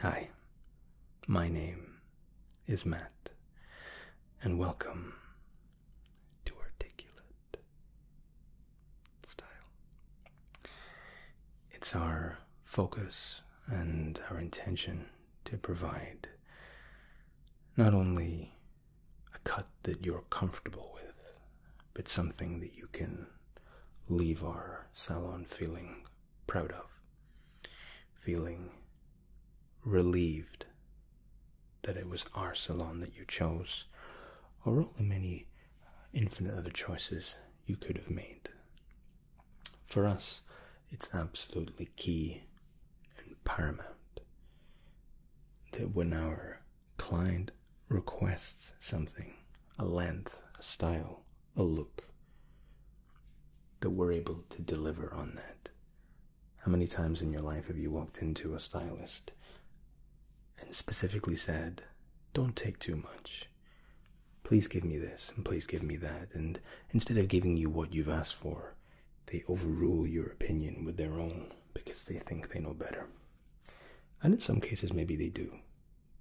Hi, my name is Matt, and welcome to Articulate Style. It's our focus and our intention to provide not only a cut that you're comfortable with, but something that you can leave our salon feeling proud of, feeling relieved that it was our salon that you chose, or all the many uh, infinite other choices you could have made. For us, it's absolutely key and paramount that when our client requests something, a length, a style, a look that we're able to deliver on that. How many times in your life have you walked into a stylist and specifically said, Don't take too much. Please give me this and please give me that. And instead of giving you what you've asked for, they overrule your opinion with their own because they think they know better. And in some cases, maybe they do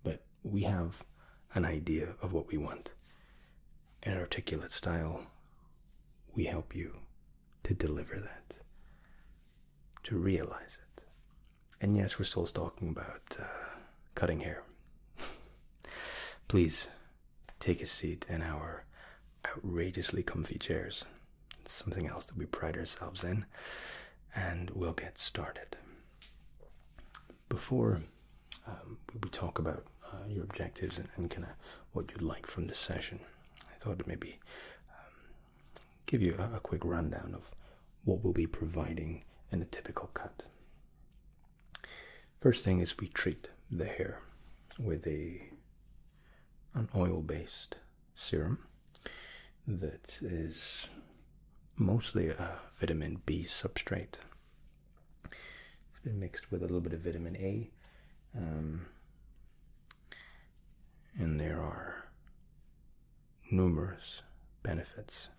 but we have an idea of what we want. In articulate style, we help you to deliver that, to realize it. And yes, we're still talking about uh, cutting hair. Please take a seat in our outrageously comfy chairs. something else that we pride ourselves in, and we'll get started before um, we talk about uh, your objectives and, kind of what you'd like from this session, I thought to maybe um, give you a, a quick rundown of what we'll be providing in a typical cut. First thing is we treat the hair with a an oil-based serum that is mostly a uh, vitamin B substrate. It's been mixed with a little bit of vitamin A. Um, and there are numerous benefits.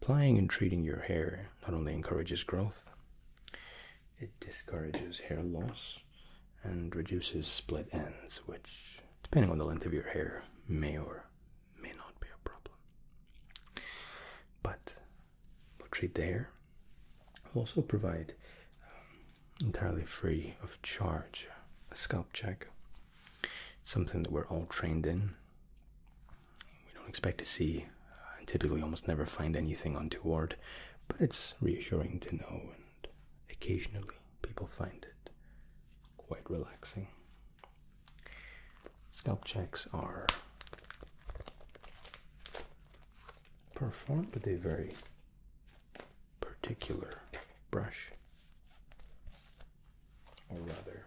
Applying and treating your hair not only encourages growth, it discourages hair loss and reduces split ends, which, depending on the length of your hair, may or may not be a problem. But we'll treat the We'll also provide um, entirely free of charge a scalp check, something that we're all trained in. We don't expect to see uh, and typically almost never find anything untoward, but it's reassuring to know, and occasionally people find it quite relaxing. Scalp checks are performed with a very particular brush, or rather,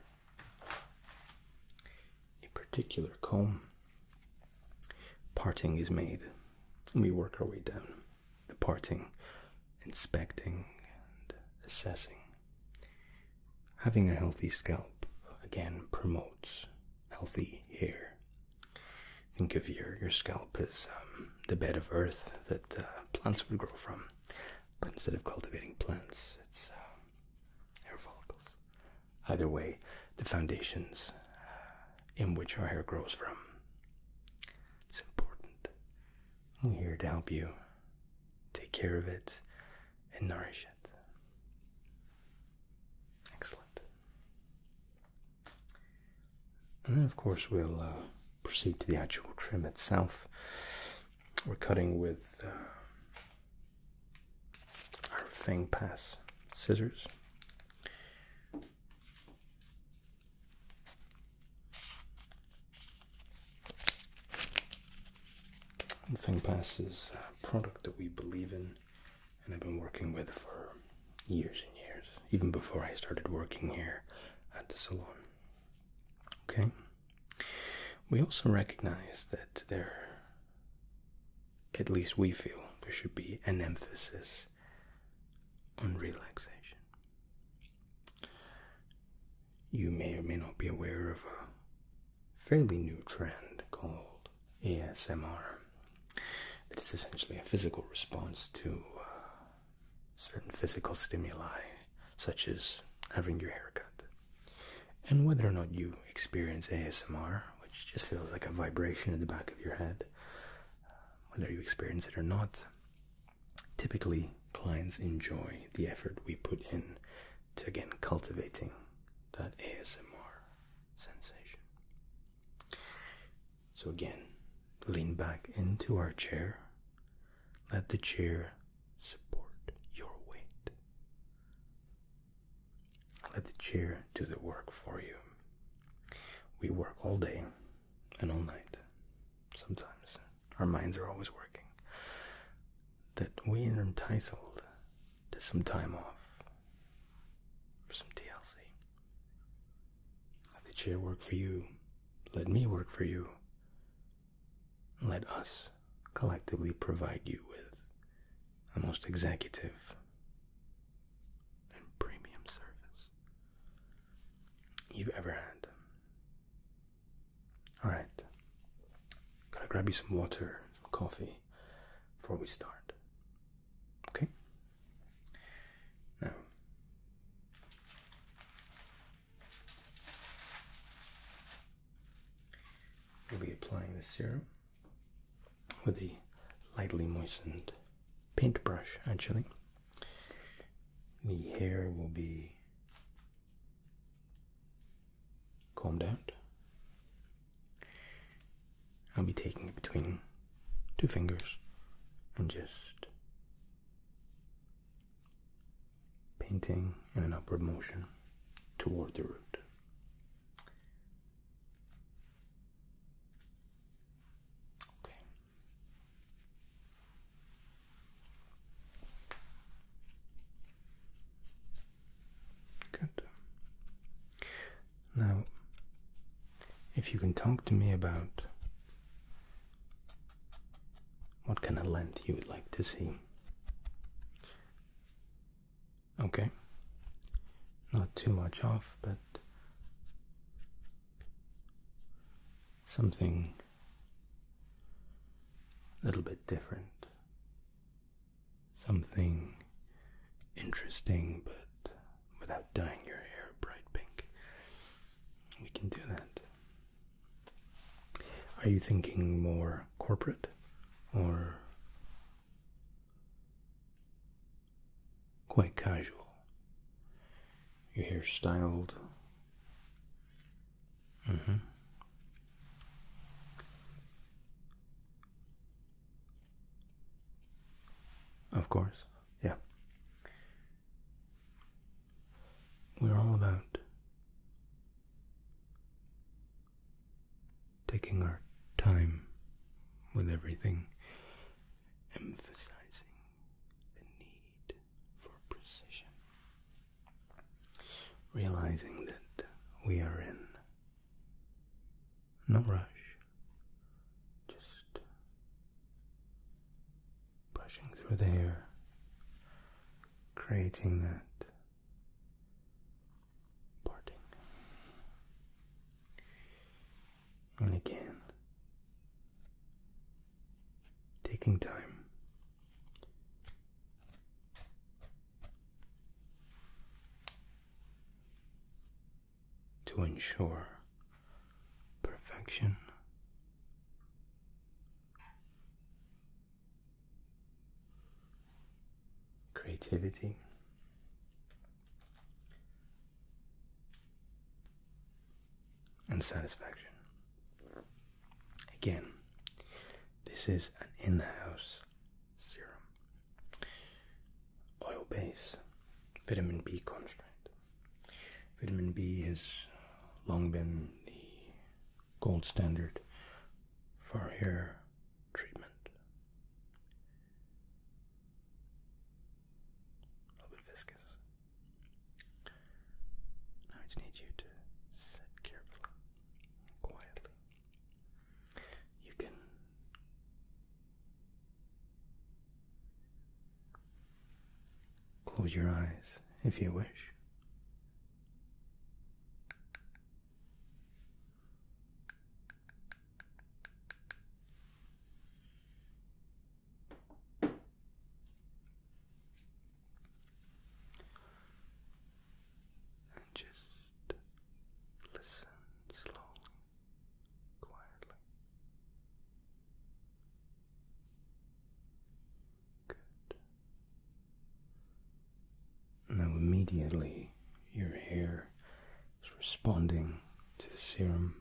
a particular comb. Parting is made, and we work our way down. Departing, inspecting, and assessing. Having a healthy scalp again promotes healthy hair. Think of your, your scalp as um, the bed of earth that uh, plants would grow from, but instead of cultivating plants, it's uh, hair follicles. Either way, the foundations uh, in which our hair grows from. It's important. We're here to help you take care of it and nourish it. Excellent. And then, of course, we'll uh, proceed to the actual trim itself. We're cutting with uh, our Fang Pass scissors. And ThinkPass is a product that we believe in and I've been working with for years and years, even before I started working here at the salon. Okay? We also recognize that there, at least we feel, there should be an emphasis on relaxation you may or may not be aware of a fairly new trend called ASMR. That is essentially a physical response to uh, certain physical stimuli, such as having your hair cut. And whether or not you experience ASMR, which just feels like a vibration in the back of your head, uh, whether you experience it or not, Typically, clients enjoy the effort we put in to again cultivating that ASMR sensation. So, again, lean back into our chair, let the chair support your weight, let the chair do the work for you. We work all day and all night, sometimes our minds are always working, that we are entitled to some time off for some TLC. Let the chair work for you, let me work for you, let us collectively provide you with the most executive and premium service you've ever had. Alright, gotta grab you some water, coffee before we start. Okay? Now, we'll be applying the serum with a lightly moistened paintbrush, actually. The hair will be combed out. I'll be taking it between two fingers and just painting in an upward motion toward the root. Okay. Good. Now, if you can talk to me about what kind of length you would like to see. Okay. Not too much off, but something a little bit different. Something interesting, but without dyeing your hair bright pink. We can do that. Are you thinking more corporate or quite casual? your hair styled. Mm-hmm. Of course, yeah. We're all about taking our time with everything, emphasizing the need for precision. Realizing that we are in no rush, just brushing through the air, creating that parting. And again, taking time. To ensure perfection, creativity, and satisfaction. Again, this is an in house serum. Oil base, vitamin B concentrate. Vitamin B has long been the gold standard for hair treatment. A little bit viscous. Now I just need you to sit carefully, quietly. You can close your eyes if you wish. And just listen slowly, quietly. Good. Now, immediately, your hair is responding to the serum.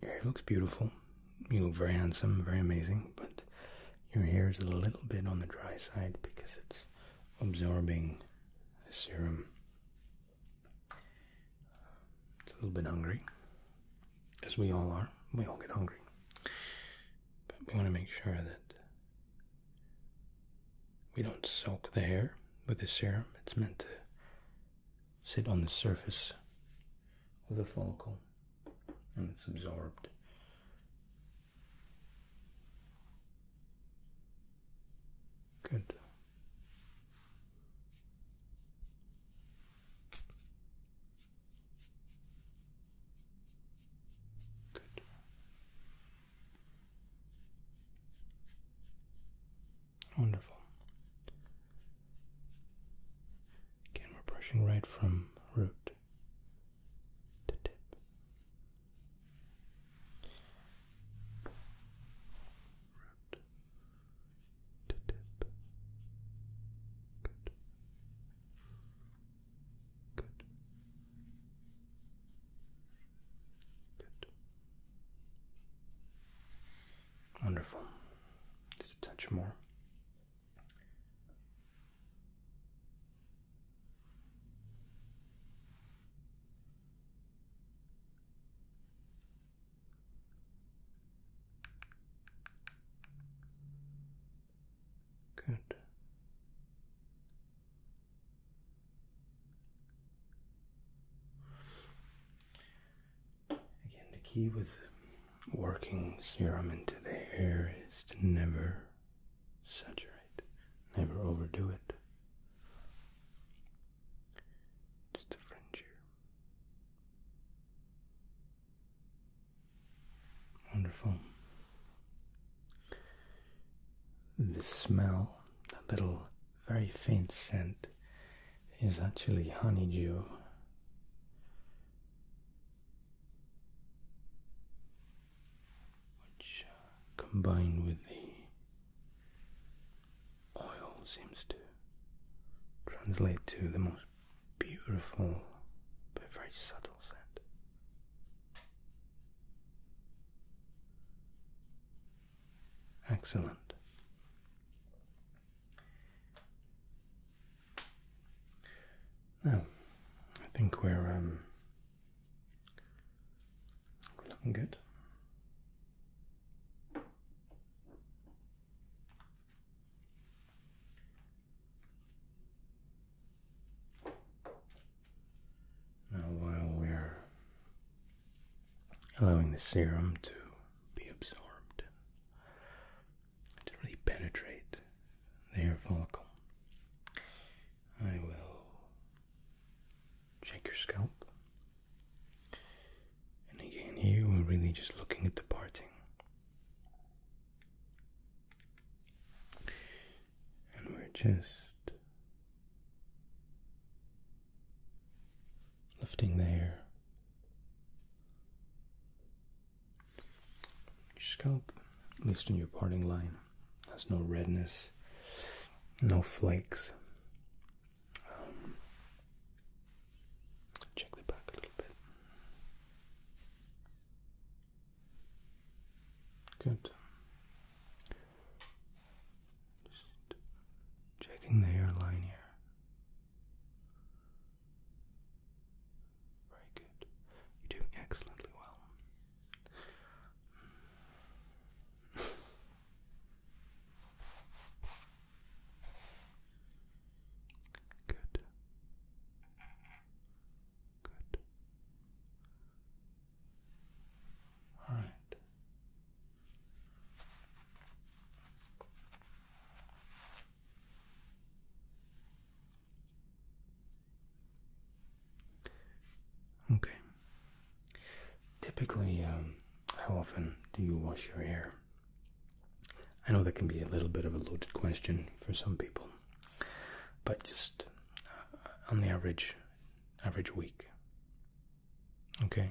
Your hair looks beautiful. You look very handsome, very amazing, but your hair is a little bit on the dry side because it's absorbing the serum. It's a little bit hungry, as we all are. We all get hungry. But we want to make sure that we don't soak the hair with the serum. It's meant to sit on the surface of the follicle and it's absorbed. Good. Good. Wonderful. Again, we're brushing right from root to tip. Root to tip. Good. Good. Good. Wonderful. Just a touch more. Good. Again, the key with working serum into the hair is to never saturate, never overdo it. Just a fringe here. Wonderful. The smell, that little very faint scent is actually honeydew. Which uh, combined with the oil seems to translate to the most beautiful but very subtle scent. Excellent. Now, I think we're um, looking good. Now, while we're allowing the serum to be absorbed to really penetrate the hair follicle. I will check your scalp. And again, here we're really just looking at the parting. And we're just lifting the hair, scalp, at least in your parting line, has no redness, no flakes. Um, check the back a little bit. Good checking the hairline here. Very good. You're doing excellently well. Good. Good. All right. Okay. Typically, um, how often do you wash your hair? I know that can be a little bit of a loaded question for some people, but just uh, on the average, average week. Okay.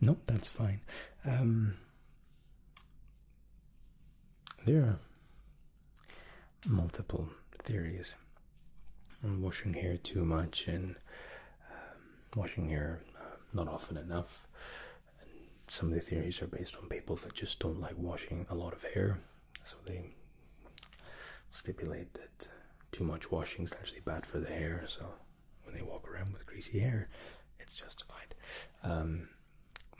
No, that's fine. Um, there are multiple theories on washing hair too much and um, washing hair uh, not often enough. some of the theories are based on people that just don't like washing a lot of hair, so they stipulate that too much washing is actually bad for the hair. So when they walk around with greasy hair, it's justified. Um,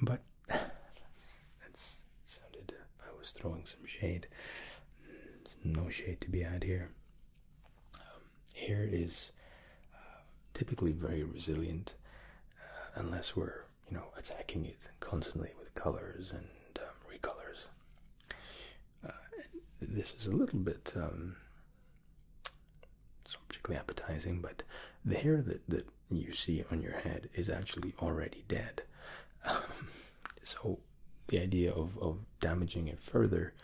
but that's sounded. I was throwing some shade. no shade to be had here. Um, hair is uh, typically very resilient, uh, unless we're you know attacking it constantly with colors and um, recolors. Uh, this is a little bit um, particularly appetizing, but the hair that that you see on your head is actually already dead. Um, so the idea of of damaging it further,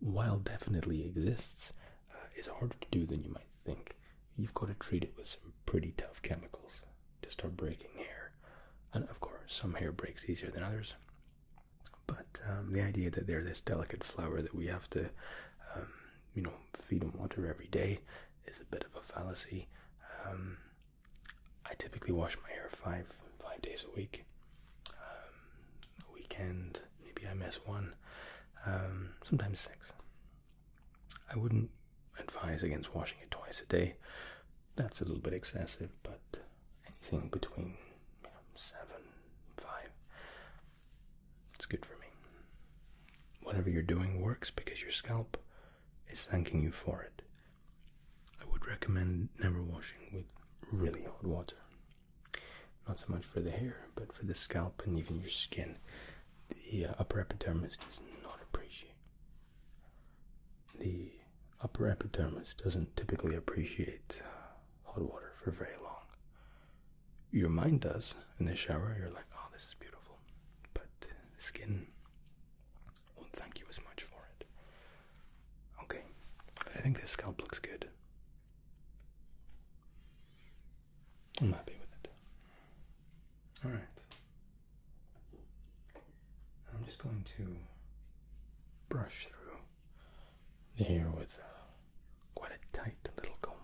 while definitely exists, uh, is harder to do than you might think. You've got to treat it with some pretty tough chemicals to start breaking hair, and of course, some hair breaks easier than others. But um, the idea that they're this delicate flower that we have to, um, you know, feed and water every day is a bit of a fallacy. Um, I typically wash my hair five five days a week. Um, weekend, maybe I miss one, sometimes six. I wouldn't advise against washing it twice a day. That's a little bit excessive, but anything between you know, seven, five. It's good for me. Whatever you're doing works because your scalp is thanking you for it. I would recommend never washing with really hot water. Not so much for the hair, but for the scalp and even your skin. The uh, upper epidermis does not appreciate the upper epidermis doesn't typically appreciate uh, hot water for very long. Your mind does in the shower, you're like, oh, this is beautiful. But skin won't thank you as much for it. Okay, I think this scalp looks good. I'm happy with it. Alright. I'm just going to brush through here with uh, quite a tight little comb.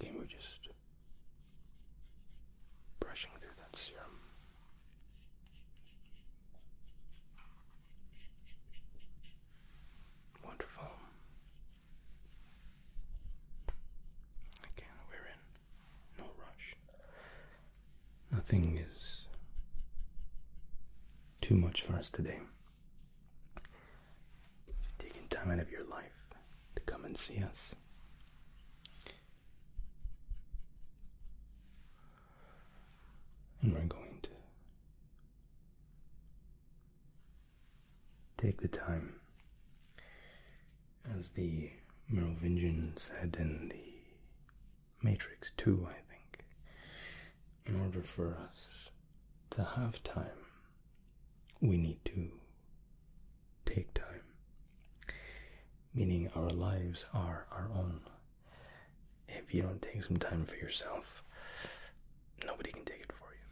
Okay, we're just brushing through that serum. Wonderful. Again, we're in no rush. Nothing is too much for us today. You're taking time out of your life to come and see us. And we're going to Take the time. As the Merovingians had in the Matrix too, I think, in order for us to have time, we need to take time. Meaning, our lives are our own. If you don't take some time for yourself, nobody can take it for you.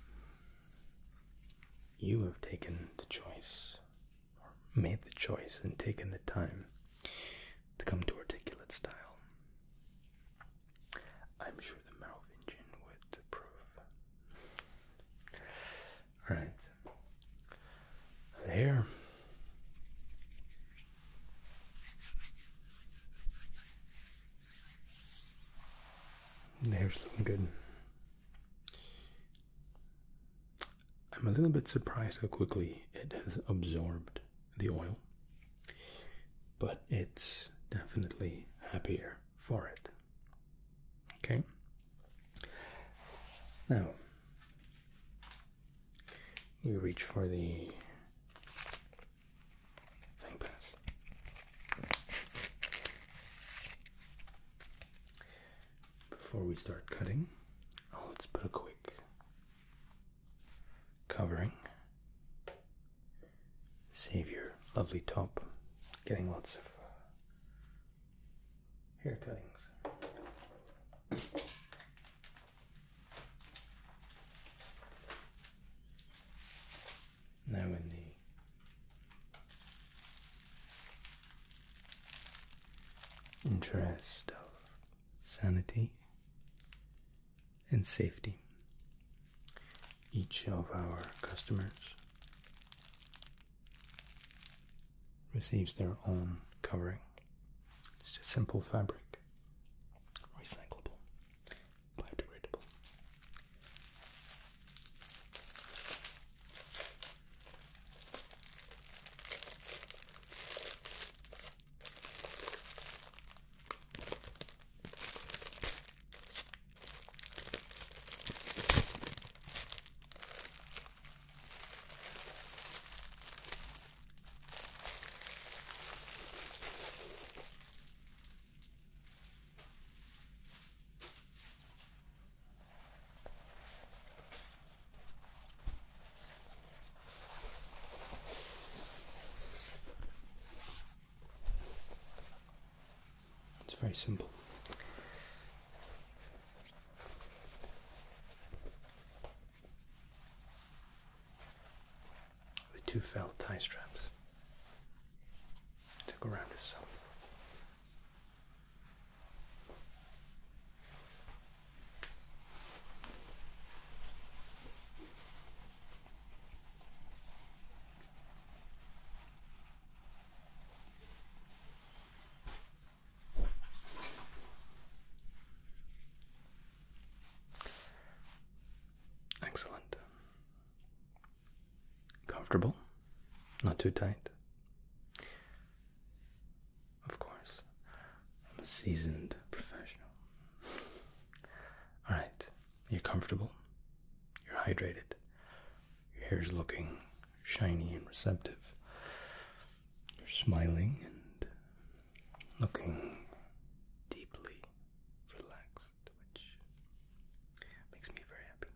You have taken the choice, or made the choice, and taken the time to come to articulate style. I'm sure the mouth would approve. Alright. There. The hair's looking good. I'm a little bit surprised how quickly it has absorbed the oil, but it's definitely happier for it. Okay? Now, we reach for the before we start cutting, oh, let's put a quick covering. Save your lovely top getting lots of uh, hair cuttings now in the interest of sanity and safety. Each of our customers receives their own covering. It's just simple fabric, recyclable biodegradable. It's very simple. With two felt tie straps to go around his Excellent. Comfortable, not too tight. Of course, I'm a seasoned professional. Alright, you're comfortable, you're hydrated, your hair's looking shiny and receptive, you're smiling and looking deeply relaxed which makes me very happy.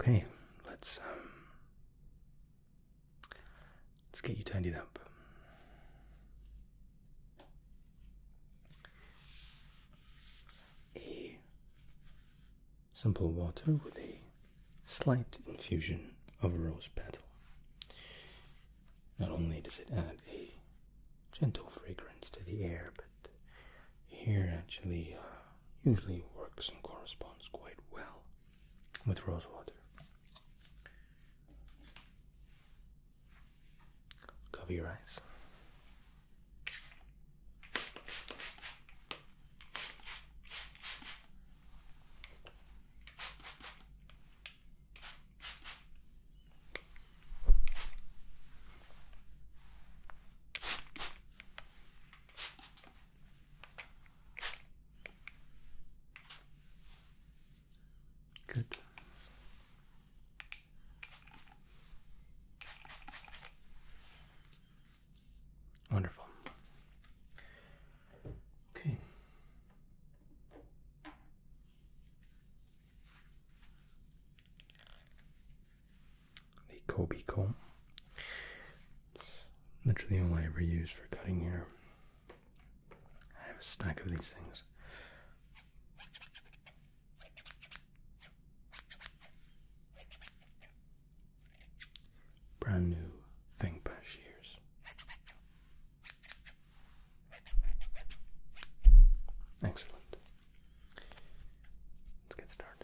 Okay, let's um, let's get you turned tidied up. A simple water with a slight infusion of rose petal. Not only does it add a gentle fragrance to the air, but here actually uh, usually works and corresponds quite well with rosewater. Cover your eyes. Good. Wonderful. Okay. The Kobe comb. It's literally all I ever use for cutting hair. I have a stack of these things. Brand new Fengpa shears. Excellent. Let's get started.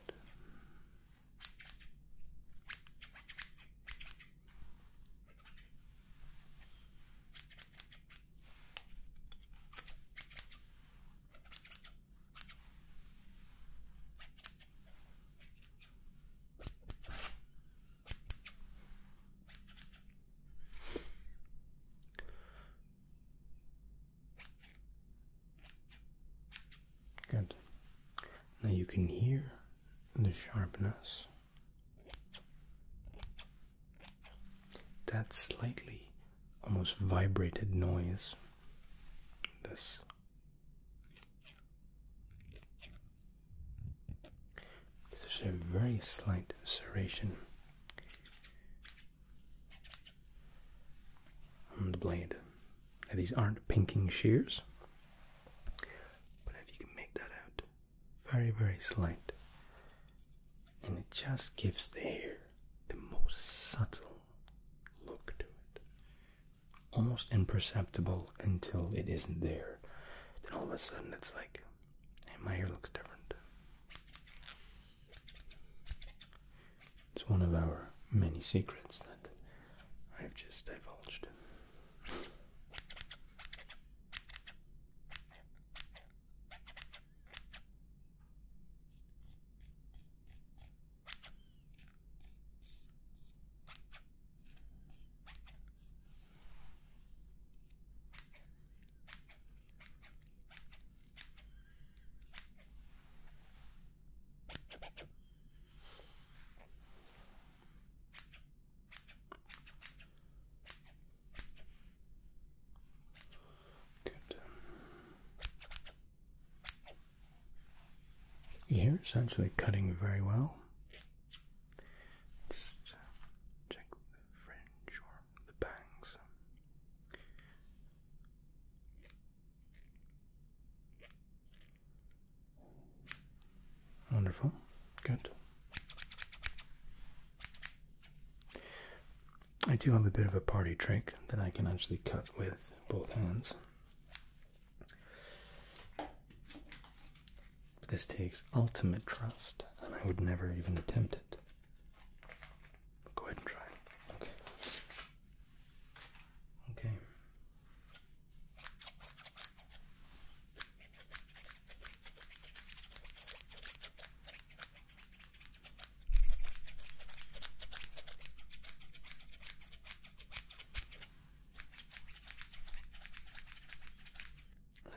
Good. Now you can hear the sharpness. That slightly almost vibrated noise. This. This is a very slight serration on the blade. Now, these aren't pinking shears, but if you can make that out, very, very slight, and it just gives the hair the most subtle look to it, almost imperceptible until it isn't there. Then all of a sudden, it's like, hey, my hair looks different. It's one of our many secrets that I've just divulged. Good. Here it's actually cutting very well. Uh, check the fringe the bangs. Wonderful, good. I do have a bit of a party trick that I can actually cut with both hands. This takes ultimate trust, and I would never even attempt it go ahead and try. Okay. Okay.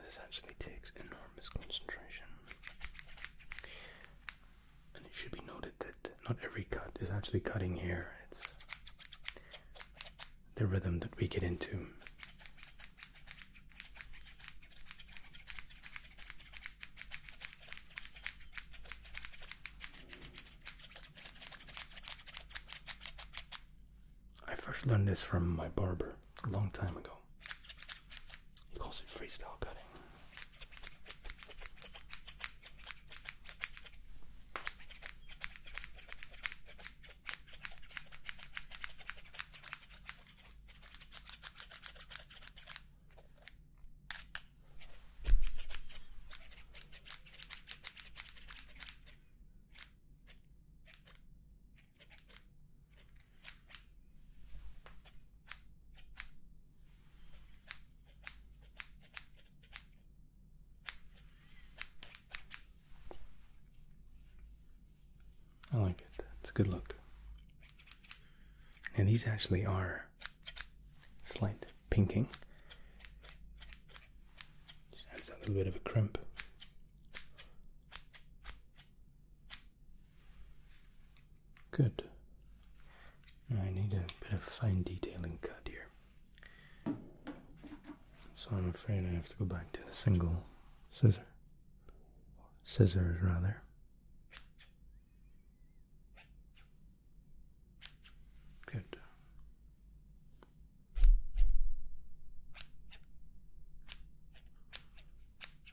This actually takes enormous concentration. And it should be noted that not every cut is actually cutting here. It's the rhythm that we get into. I first learned this from my barber a long time ago. He calls it freestyle cutting. I like it. It's a good look. And these actually are slight pinking. Just adds a little bit of a crimp. Good. I need a bit of fine detailing cut here. So I'm afraid I have to go back to the single scissor. Scissors, rather. Good.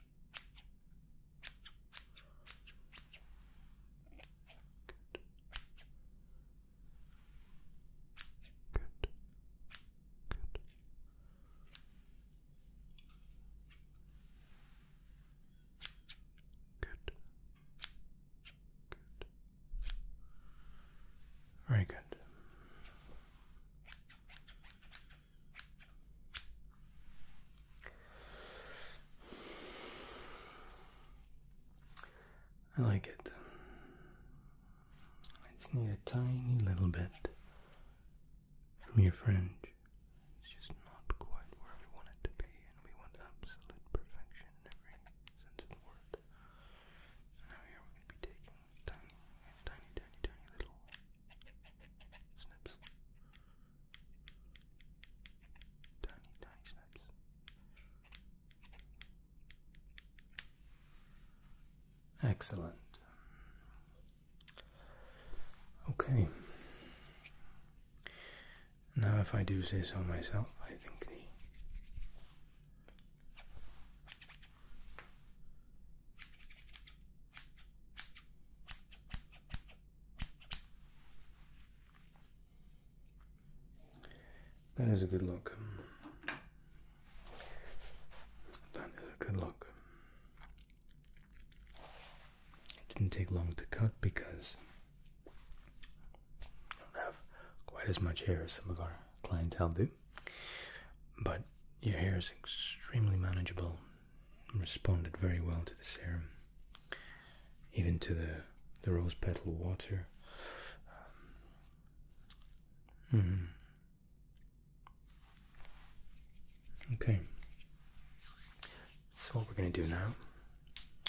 Good. Good. Good. Good. Very good. I like it. I just need a tiny little bit from your fringe. It's just not quite where we want it to be, and we want absolute perfection in every sense of the word. now here we're going to be taking tiny, tiny, tiny, tiny little snips. Tiny, tiny snips. Excellent. Okay. Now, if I do say so myself, I think the that is a good look. That is a good look. It didn't take long to cut because I don't have quite as much hair as some of our clientele do. But your hair is extremely manageable responded very well to the serum, even to the, the rose petal water. Um, hmm. Okay, so what we're going to do now,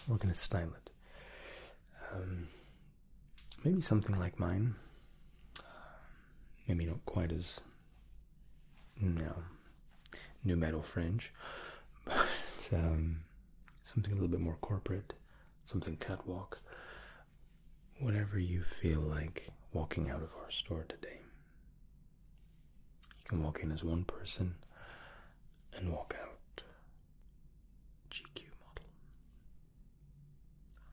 we're going to style it. Um, maybe something like mine, maybe not quite as no new metal fringe, but um, something a little bit more corporate, something catwalk. Whatever you feel like walking out of our store today, you can walk in as one person and walk out GQ model.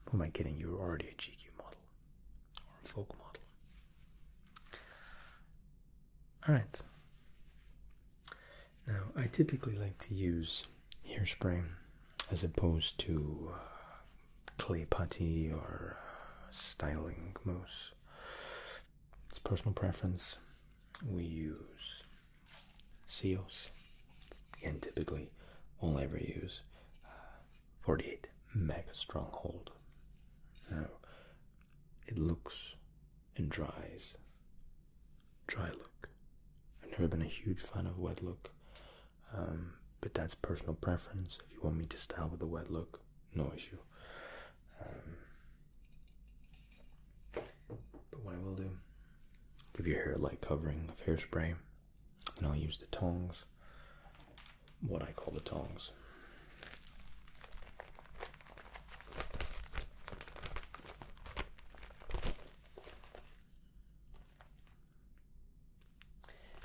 Who am I kidding? You're already a GQ model or a folk model. Alright. Now, I typically like to use hairspray as opposed to uh, clay putty or uh, styling mousse. It's personal preference. We use seals. Again, typically, only ever use uh, 48 mega stronghold. Now, it looks and dries. Dry look. I've never been a huge fan of wet look, um, but that's personal preference. If you want me to style with a wet look, no issue. Um, but what I will do, give your hair a light covering of hairspray and I'll use the tongs, what I call the tongs.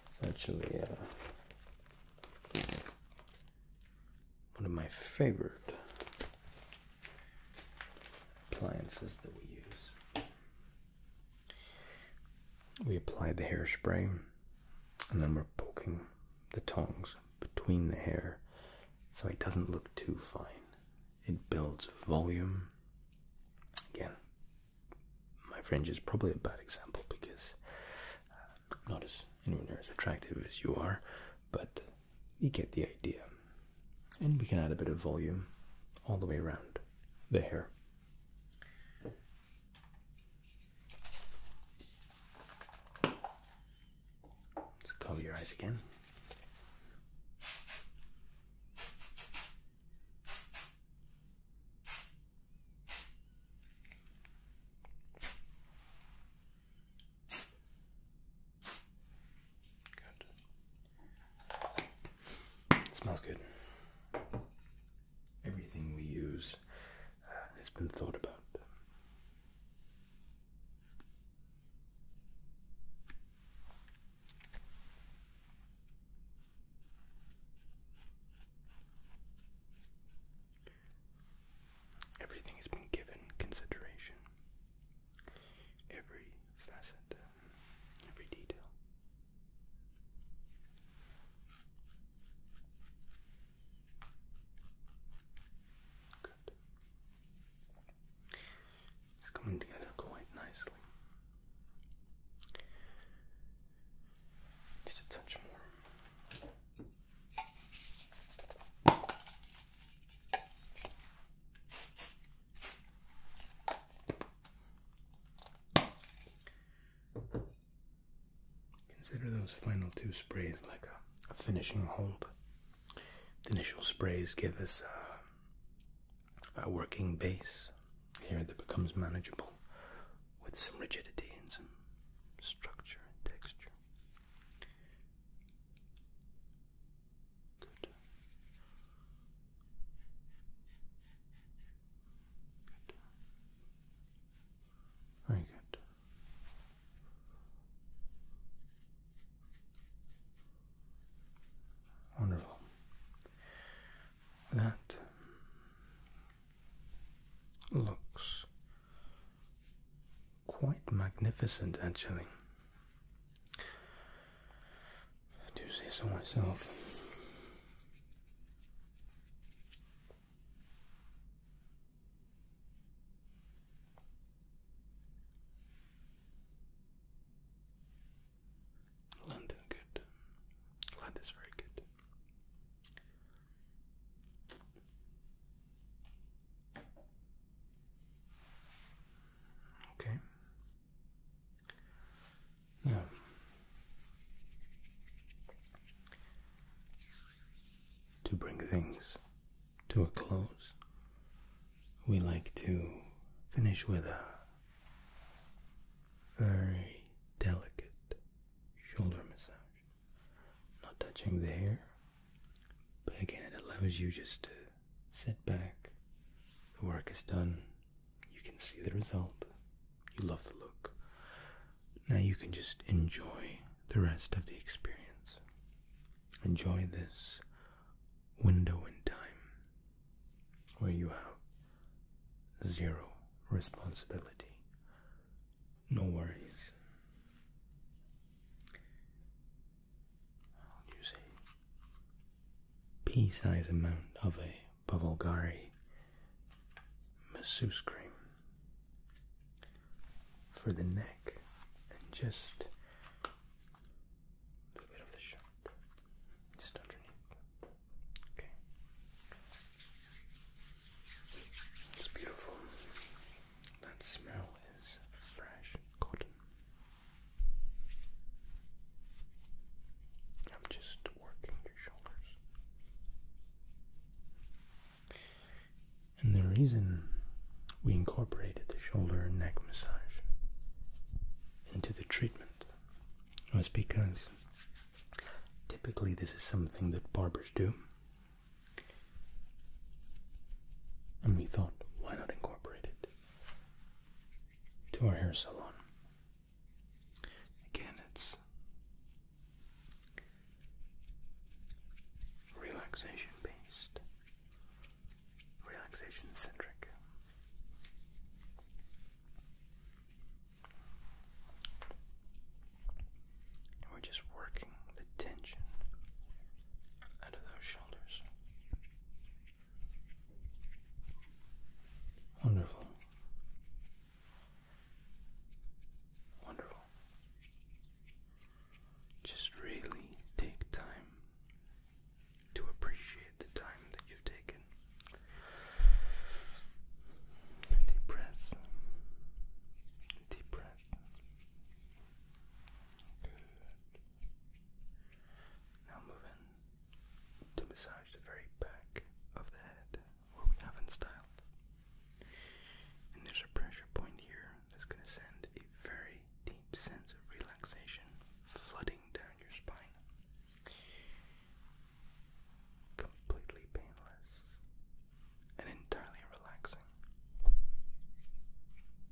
It's actually uh, one of my favorite appliances that we use. We apply the hairspray and then we're poking the tongs between the hair so it doesn't look too fine. It builds volume. Again, my fringe is probably a bad example because I'm uh, not as anywhere near as attractive as you are, but you get the idea. And we can add a bit of volume all the way around the hair. So cover your eyes again. Good. smells good everything we use uh, has been thought about. Everything has been given consideration. Every facet, every detail. It's coming together quite nicely. Just a touch more. Consider those final two sprays like a, finishing hold. The initial sprays give us a, uh, a working base here that becomes manageable with some rigidity and some structure and texture. Good. Very good. Wonderful. That looks quite magnificent, actually do say so myself. London good. London is very good. Okay. Yeah. To bring things to a close, we like to finish with a very delicate shoulder massage. Not touching the hair, but again, it allows you just to sit back, the work is done, you can see the result. You love the look. Now you can just enjoy the rest of the experience. Enjoy this window in time where you have zero responsibility, no worries. I'll pea size amount of a by Bulgari masseuse cream for the neck and just a little bit of the shirt, just underneath. Okay, it's beautiful. That smell is fresh cotton. I'm just working and the reason we incorporated the shoulder and neck massage into the treatment was because typically this is something that barbers do. And we thought, why not incorporate it to our hair salon? Again, it's relaxation based, relaxation centric. we're just working the tension out of those shoulders. Wonderful. Wonderful. Just really take time to appreciate the time that you've taken. Deep breath. Deep breath. Good. Now move in to massage the very back of the head where we haven't styled. And there's a pressure point here that's going to send a very deep sense of relaxation flooding down your spine. Completely painless and entirely relaxing.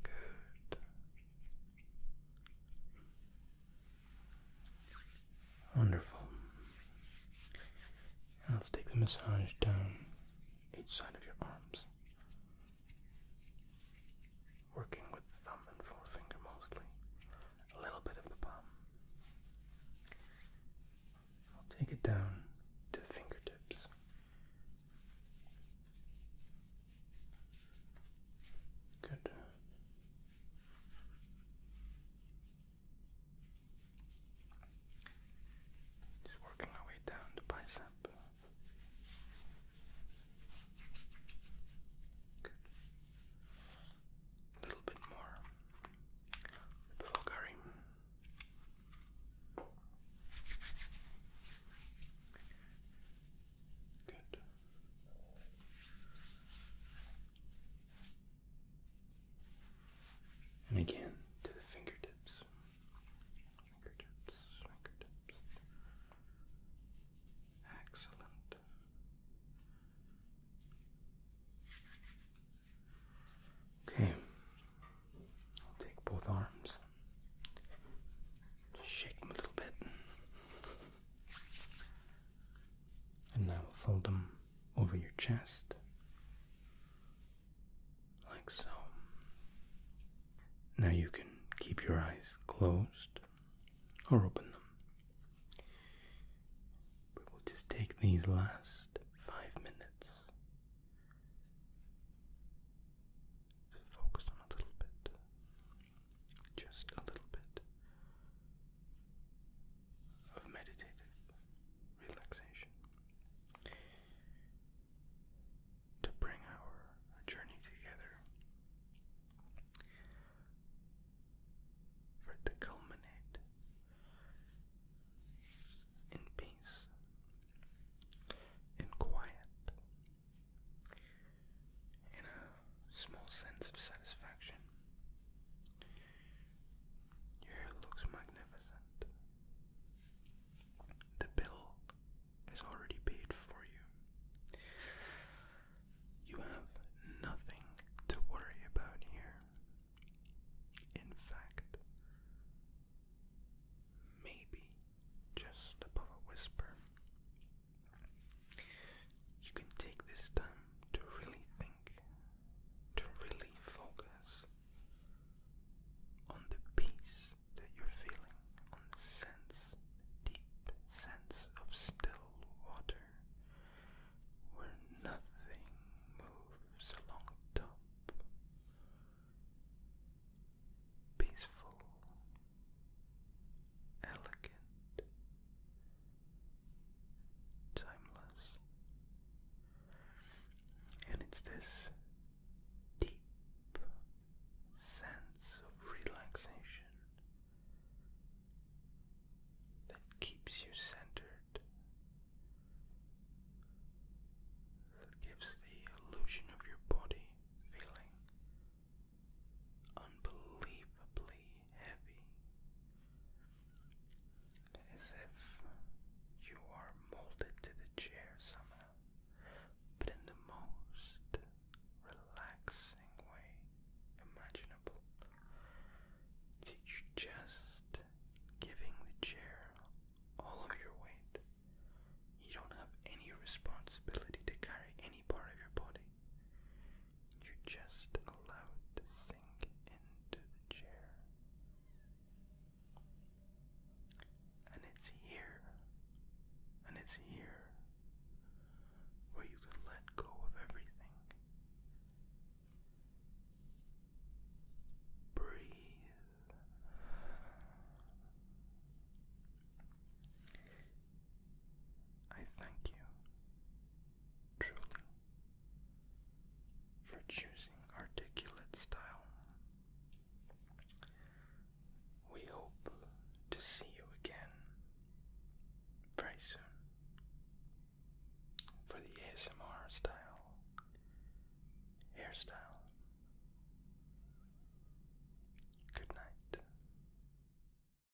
Good. Wonderful. let's take the massage down each side of your arms. Working with the thumb and forefinger mostly. A little bit of the palm. I'll take it down to the fingertips. Good. Just working our way down the bicep. A little bit more before curry. Good. And again to the fingertips. Fingertips, fingertips. Excellent. Okay. I'll take both arms. Shake them a little bit. And now fold them over your chest, like so. Now you can keep your eyes closed or open them. We will just take these last five minutes to on a little bit just a little bit of meditative relaxation to bring our journey together, for to culminate in peace, in quiet, in small sense of satisfaction. Your hair looks magnificent. The bill is already paid for you. You have nothing to worry about here. In fact, maybe just above a whisper, you can take this time to really think, to really focus on the peace that you're feeling, on the sense, deep sense of still water, where nothing moves along top. Peaceful, elegant, timeless. And it's this deep sense of relaxation that keeps you centered, that gives the illusion of your body feeling unbelievably heavy, as if you are molded to the chair somehow, but in the most relaxing way imaginable. you just giving the chair all of your weight. You don't have any responsibility to carry any part of your body. You're just allowed to sink into the chair. And it's here, and it's here where you can let go of everything. Breathe. I thank you truly for choosing articulate style. We hope to see you again very soon for the ASMR style hairstyle. Good night.